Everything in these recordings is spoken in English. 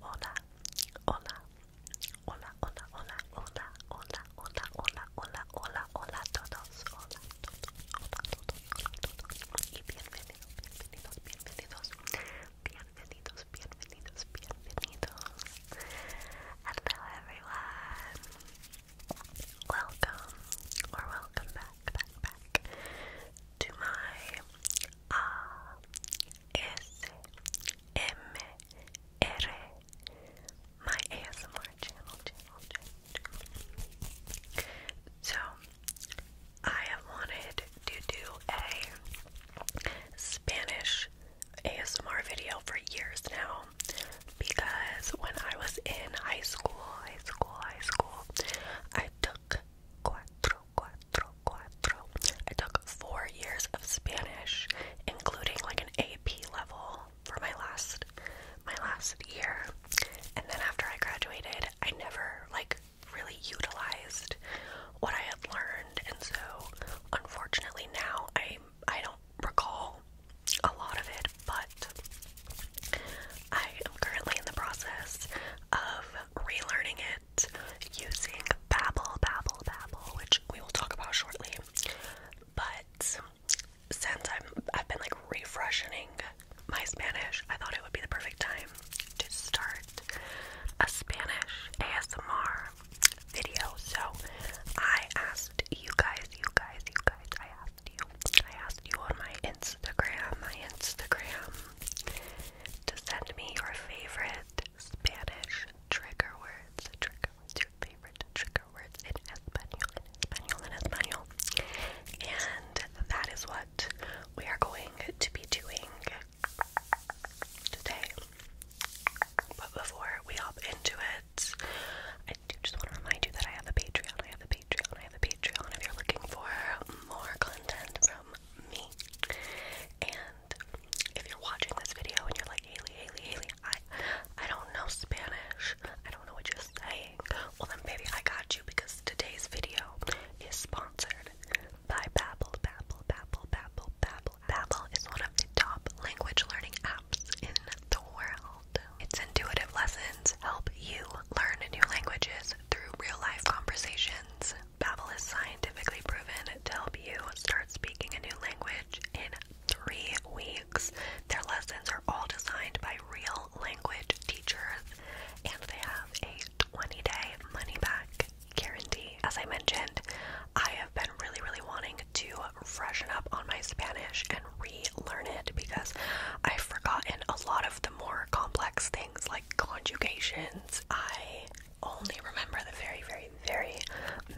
Hola, hola, hola, hola, hola, hola, hola, hola, hola, hola, hola, hola todos, hola todos, hola todos, hola todos, y bienvenidos, bienvenidos, bienvenidos, bienvenidos, bienvenidos. Hello everyone. Welcome or welcome back, back, back to my A uh, S M R my ASMR channel, So, I have wanted to do a Spanish ASMR video for years now because when I was in high school, high school, high school, I took cuatro, cuatro, cuatro. I took four years of Spanish, including like an AP level for my last my last year. And then after I graduated, I never like really utilized what I had learned, and so unfortunately now I I don't recall a lot of it, but I am currently in the process of relearning it using Babbel, Babbel, Babbel, which we will talk about shortly. But since I'm, I've been like refreshing my Spanish, I thought it would be the perfect time to start a Spanish ASMR video. So I asked you guys, you guys, you guys, I asked you, I asked you on my Instagram, my Instagram, to send me your favorite Spanish trigger words, trigger words, your favorite trigger words in Espanol, Espanol, in Espanol. And that is what we are going to be doing today. But before we hop into it, I do just want to remind you that I have a Patreon, I have a Patreon, I have a Patreon if you're looking for more content from me. And if you're watching this video and you're like, Haley, Haley, Haley, I I don't know Spanish. I don't know what you're saying. Well then baby, I got you because today's video is sponsored by Babbel, Babbel, Babbel, Babbel, Babbel. Babbel is one of the top language learning apps in the world. Its intuitive lessons help you learn new languages through real-life conversations. Babbel is scientifically proven to help you start speaking a new language in three weeks. Their lessons are all designed by real language teachers, and they have a 20 day money back guarantee. As I mentioned, I have been really, really wanting to freshen up on my Spanish and relearn it because I've forgotten a lot of the more complex things like conjugations. I only remember the very, very, very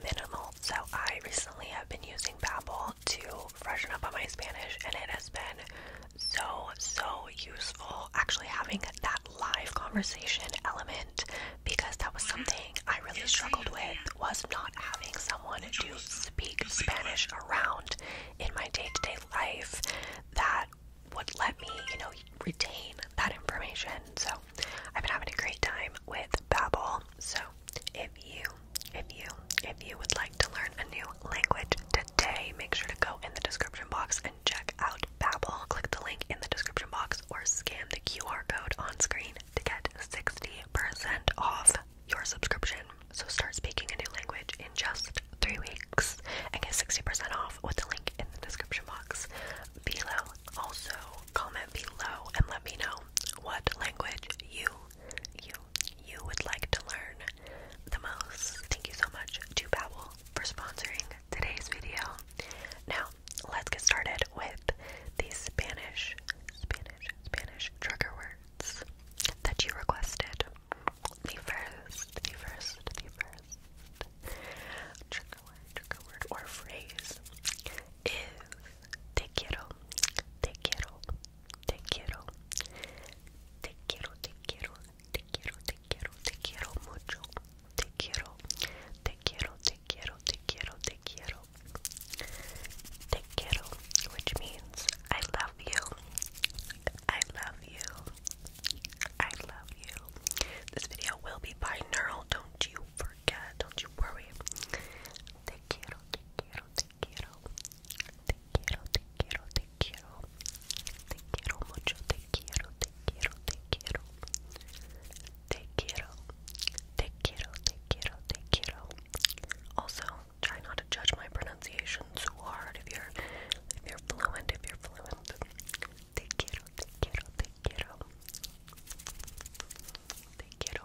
minimal. So I recently have been using Babbel to freshen up on my Spanish, and it has been so, so useful actually having that live conversation element because that was mm-hmm. something I really struggled with was not having someone to speak Spanish around in my day-to-day -day life that would let me, you know, retain that information. So I've been having a great time with Babbel. So if you if you if you would like to learn a new language today, make sure to go in the description box and check out Babbel. Click the link in the description box or scan the QR code on screen to get 60% off your subscription. So start speaking a new language in just three weeks and get 60% off with the link in the description box below. Also, comment below and let me know what language you you, you would like to learn the most. Thank you so much to Babbel for sponsoring today's video. Now, let's get started with the Spanish, Spanish, Spanish trigger words that you requested. The first, the first, the first trigger word, trigger word, or phrase is te quiero, te quiero, Te quiero. Te quiero, te quiero, te quiero, te quiero, te quiero mucho. Te quiero. Te quiero, te quiero, te quiero, te quiero. Te quiero, which means I love you. I love you. I love you. This video will be binaural, don't you forget, don't you worry. Te quiero, te quiero, te quiero. Te quiero, te quiero, te quiero. Te quiero mucho, te quiero, te quiero, te quiero. Te quiero, te quiero, te quiero, te quiero. Also, try not to judge my pronunciation too hard. If you're, if you're fluent, if you're fluent. Te quiero, te quiero, te quiero. Te quiero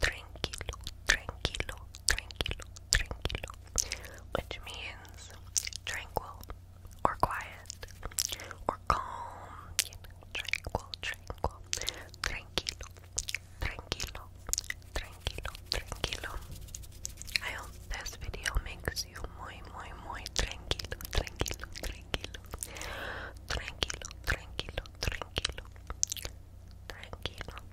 tranquilo, tranquilo, tranquilo, tranquilo, which means tranquil or quiet or calm, you know, tranquil, tranquil, tranquilo, tranquilo, tranquilo, tranquilo. I hope this video makes you muy, muy, muy tranquilo, tranquilo, tranquilo, tranquilo, tranquilo, tranquilo, tranquilo,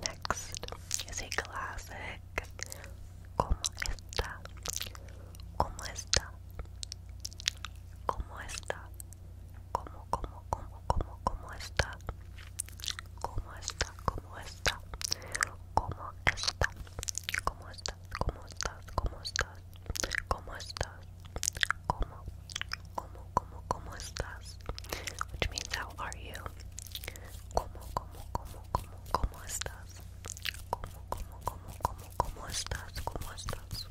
Next is a classic. Which means, how are you? Como, como, como, como, cómo estás? ¿Cómo, cómo, cómo, cómo, como estás? ¿Cómo estás?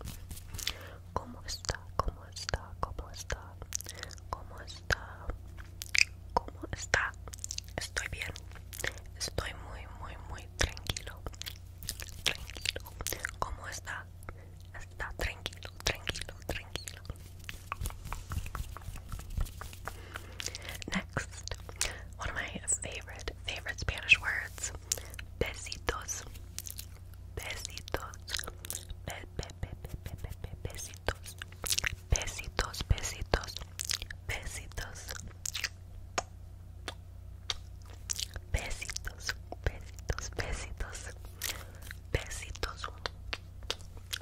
como está? como está? como está? como está? como está? Estoy bien. Estoy muy, muy, muy tranquilo. Tranquilo. ¿Cómo está? Está tranquilo. tranquilo, tranquilo, Next, one of my favorite, favorite Spanish words, besitos, besitos, besitos, besitos, besitos, besitos, besitos, besitos, besitos,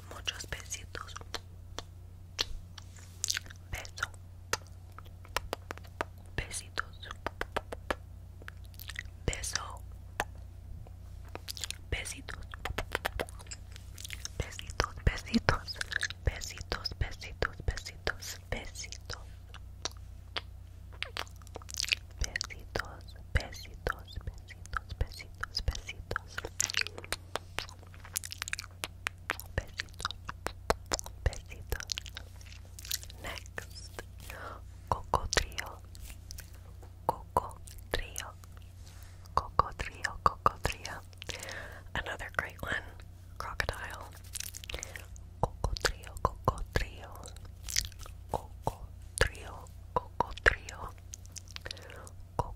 Muchos besitos. Beso. Besitos. Beso. Besitos. Besitos, besitos. Besitos, besitos, besitos. Besitos. Besitos. Besitos, besitos, besitos, besitos. Besitos, besitos. Next, Coco Trio. Coco Trio. Coco Trio, Coco Trio. Another great one, Crocodile. Coco Trio, Coco Trio. Coco Trio, Coco Trio.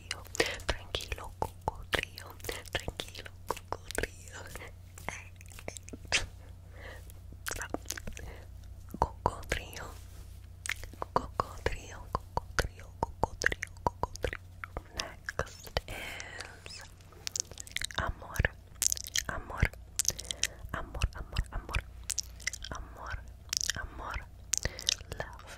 cocodrillo, tranquilo cocodrillo, tranquilo cocodrillo. Cocodrillo, cocodrillo, cocodrillo, cocodrillo, cocodrillo. Next is amor, amor, amor, amor, Love, love.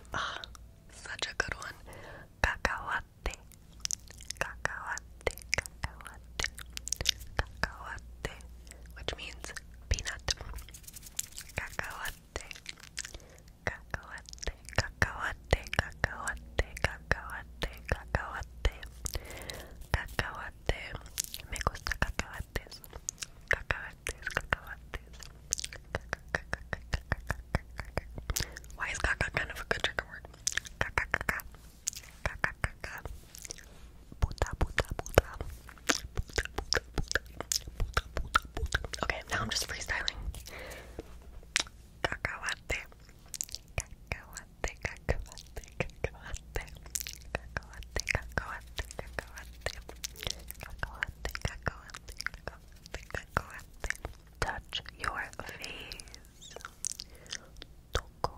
but such a good one. Cacahuate, cacahuate, cacahuate, cacahuate, which means peanut. Cacahuate, cacahuate, cacahuate, cacahuate, cacahuate, cacahuate, cacahuate. Me gusta cacahuates. Why is caca kind of a good trigger word? Okay, now I'm just freestyling. Touch your face. Toco,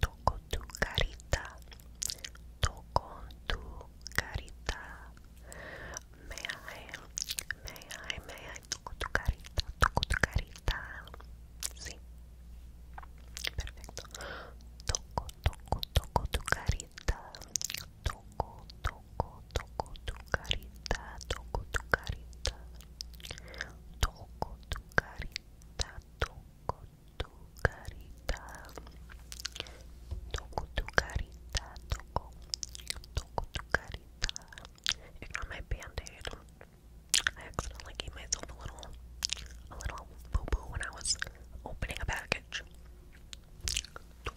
toco tu carita. Toco tu carita. May I, may toco tu carita, toco tu carita. Sí. Perfecto. Toco, toco, toco tu carita. Toco, toco, toco tu carita, toco tu carita. Toco tu carita, toco tu carita. Toco tu carita, toco. Toco tu carita. Ignore my band-aid. I accidentally gave myself a little, a little boo-boo when I was opening a package. Toco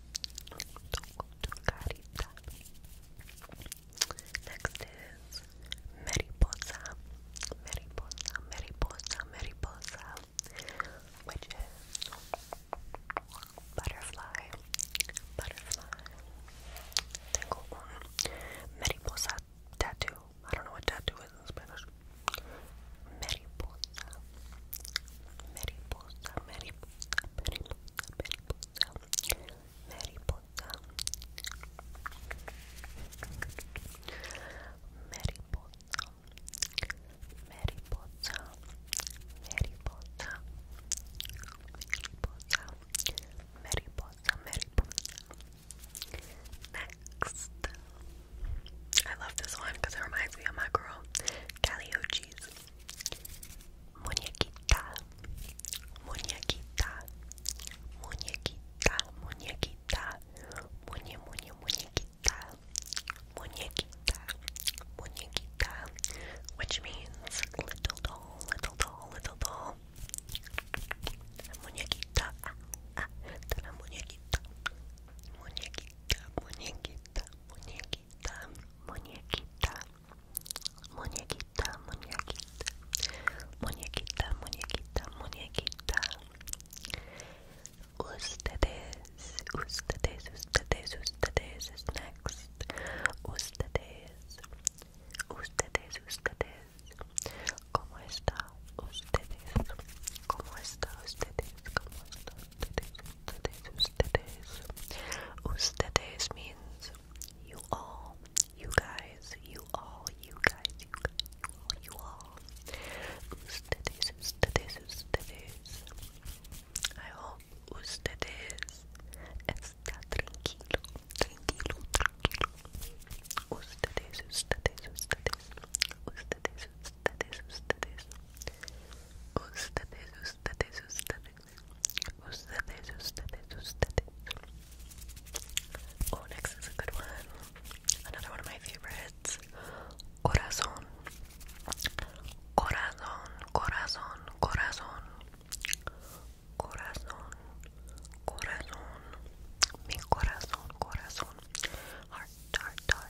don't Next is Mariposa. Mariposa, Mariposa, Mariposa. Which is butterfly. Butterfly. Then go on. Mariposa tattoo. I don't know what tattoo is in Spanish. Mariposa. Mariposa, mariposa, mariposa, mariposa, mariposa, mariposa, mariposa, mariposa, mariposa, mariposa. Next. I love this one because it reminds me of my girl, Calliope cheese. Muñequita, muñequita, muñequita, muñequita, muñe, muñe, muñequita, muñequita, muñequita, which means little doll, little doll, little doll. Muñequita, ah, ah, la muñequita, muñequita, muñequita, muñequita muñequita, muñequita, muñequita, muñequita, muñequita, muñequita, muñequita. Ustedes, ustedes, ustedes, ustedes is next. Ustedes, ustedes, ustedes. ¿Cómo está ustedes? ¿Cómo está ustedes? ¿Cómo está ustedes? Ustedes, ustedes. Ustedes means you all, you guys, you all, you guys, you guys, you all, you all. Ustedes, ustedes, ustedes. I hope ustedes está tranquilo, tranquilo, tranquilo. Ustedes, ustedes, ustedes. Ustedes, ustedes, ustedes. Ustedes, ustedes, ustedes, ustedes, ustedes, ustedes. Oh, is a good one. Another one of my favorites. Corazón, corazón, corazón, corazón, corazón, corazón. Mi corazón, corazón. Heart, heart, heart.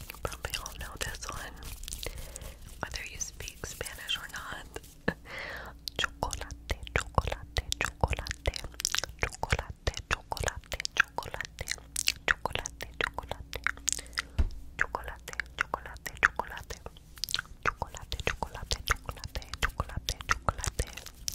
You probably all know this one, whether you speak Spanish or not. chocolate, chocolate, chocolate, chocolate, chocolate, chocolate, chocolate, chocolate, chocolate, chocolate, chocolate, chocolate, chocolate, chocolate, chocolate, chocolate, chocolate,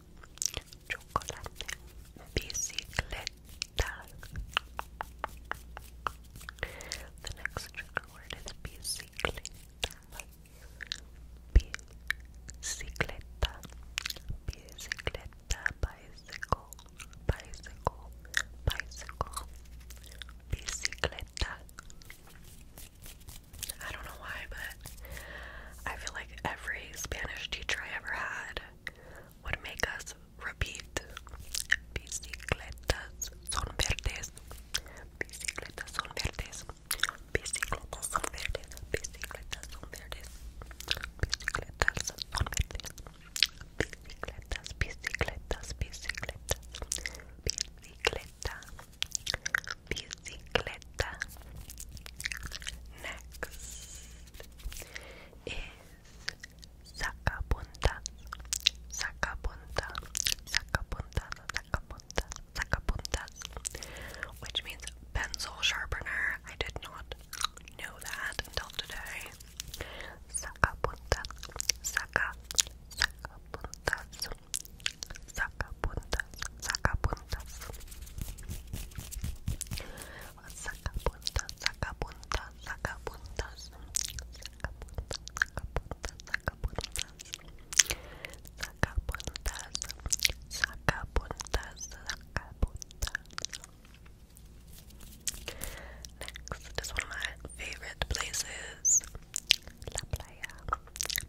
chocolate, bicicleta. The next word is bicicleta, bicicleta, bicicleta, bicycle, bicycle, bicycle, I don't know why, but I feel like every Spanish teacher I ever had would make us repeat bicicletas son verdes, bicicletas son verdes, bicicletas son verdes, bicicletas son verdes, bicicletas son verdes, bicicletas, bicicletas, bicicletas, bicicleta, bicicleta. Next is sacapuntas, sacapuntas, sacapuntas, sacapuntas, sacapuntas, which means pencil sharpener. I did not know that until today. Sacapuntas, saca, sacapuntas, sacapuntas sacapuntas, sacapuntas, sacapuntas, sacapuntas, sacapuntas, sacapuntas, sacapuntas, sacapuntas, sacapuntas, sacapuntas. is one of my favorite places. La playa,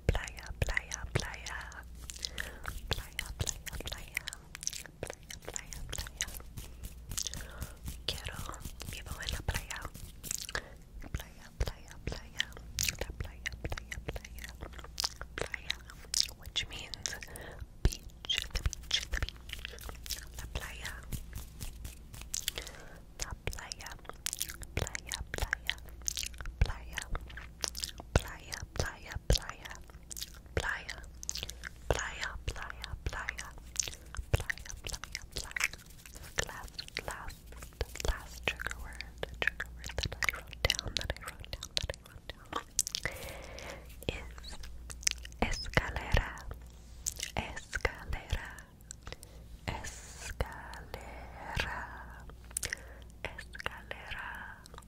playa, playa, playa, playa, playa, playa, playa, playa, playa. Quiero, vivo en la playa. Playa, playa, playa. La playa, playa, playa. Playa, which means beach, the beach, the beach. La playa. La playa, playa, playa. Playa, playa, playa, playa playa, playa, playa, playa, playa, playa, playa. Last, last, last trigger word, trigger word that I wrote down, that I wrote down, that I wrote down is escalera, escalera, escalera, escalera.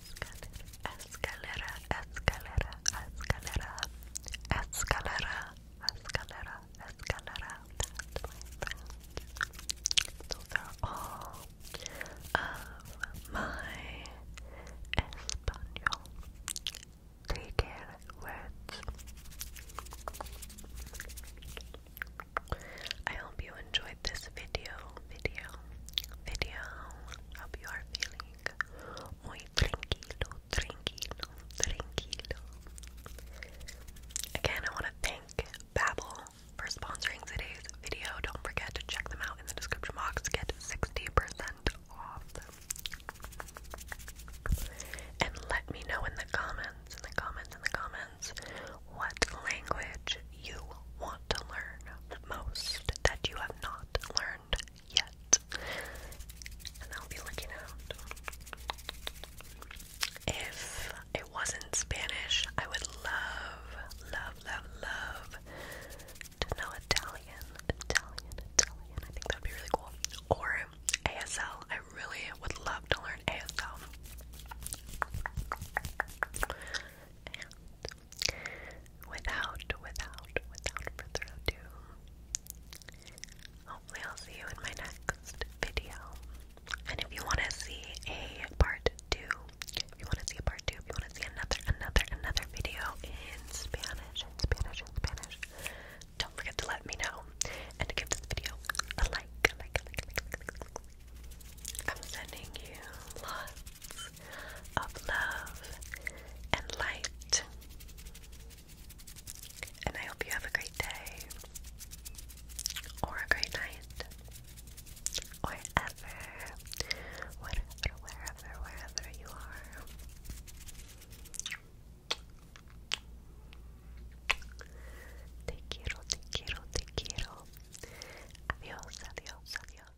escalera, escalera, escalera, escalera, escalera, escalera. That's Those are all of my Espanol taken words. I hope you enjoyed this video, video, video. Hope you are feeling Again, I want to thank Babbel for sponsoring today's video. Don't forget to check them out in the description box. Get 60% off. And let me know in the comments, in the comments, in the comments, what language you want to learn most that you have not learned yet. And I'll be looking out. If it wasn't Spanish, I would love, love, love, love to know Italian. Italian, Italian. I think that would be really cool. Or ASL. I really would love to learn ASL without, without, without further ado, hopefully I'll see you in my next video. And if you want to see a part two, if you want to see a part two, if you want to see another, another, another video in Spanish, Spanish, Spanish, don't forget to let me know and give this video a like, I'm sending you lots rays of love and light. And I hope you have a great day, or a great night, or ever, whatever, wherever, wherever you are. Te quiero, te quiero, te quiero. Adios, adios, adios.